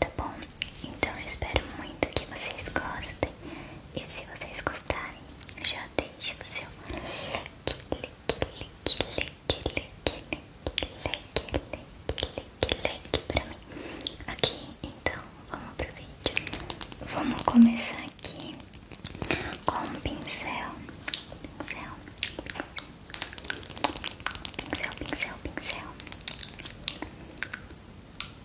tá bom? Então eu espero muito que vocês gostem e se vocês gostarem, já deixa o seu like, like, like, like, like, like, like, like, like pra mim. Ok, então vamos pro vídeo. Vamos começar aqui com um pincel, pincel, pincel, pincel, pincel.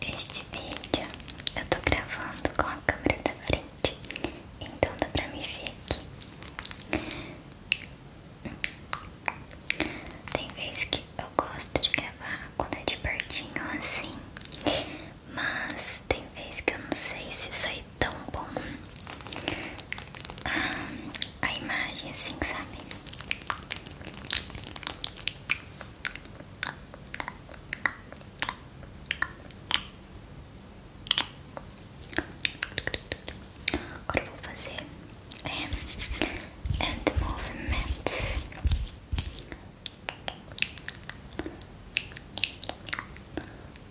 Este vídeo eu tô gravando com a câmera da frente, então dá pra me ver aqui. Tem vezes que eu gosto de gravar quando é de pertinho assim, mas tem vez que eu não sei se sai é tão bom ah, a, imagem assim, sabe? Agora vou fazer é, end movements.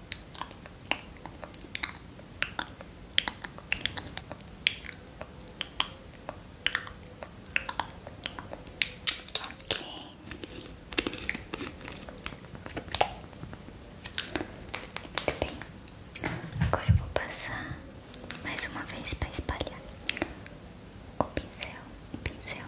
Muito bem. Agora eu vou passar mais uma vez para espalhar o pincel, o pincel.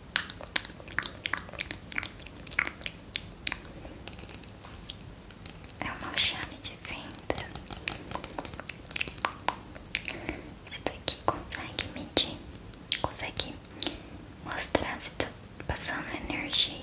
É uma chave de venda. Esse daqui consegue medir, consegue mostrar se tá passando energia.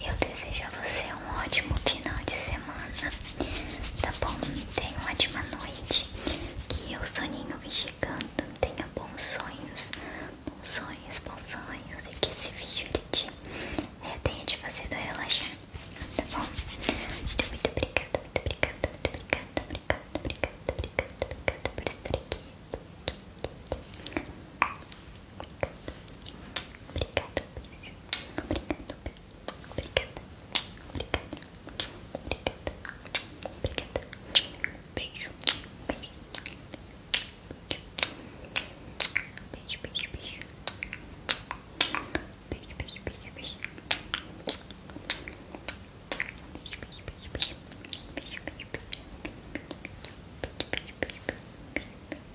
Eu desejo a você um ótimo final de semana, tá bom? Tenha uma ótima noite, que o soninho vem chegando, tenha bons sonhos, bons sonhos, bons sonhos, e que esse vídeo ele te, é, tenha te fazido relaxar, tá bom? Muito, obrigada, muito obrigada, muito obrigada, obrigada, obrigada, obrigada, obrigada por estar aqui. Obrigada. Obrigada. Obrigada. Obrigada. Obrigada. Obrigada. Beijo. Beijo. Beijo, beijo, beijo. Beijo, beijo, beijo, beijo. Beijo, beijo, beijo, beijo. Beijo, beijo, beijo. Beijo, beijo, beijo. Beijo, beijo, beijo.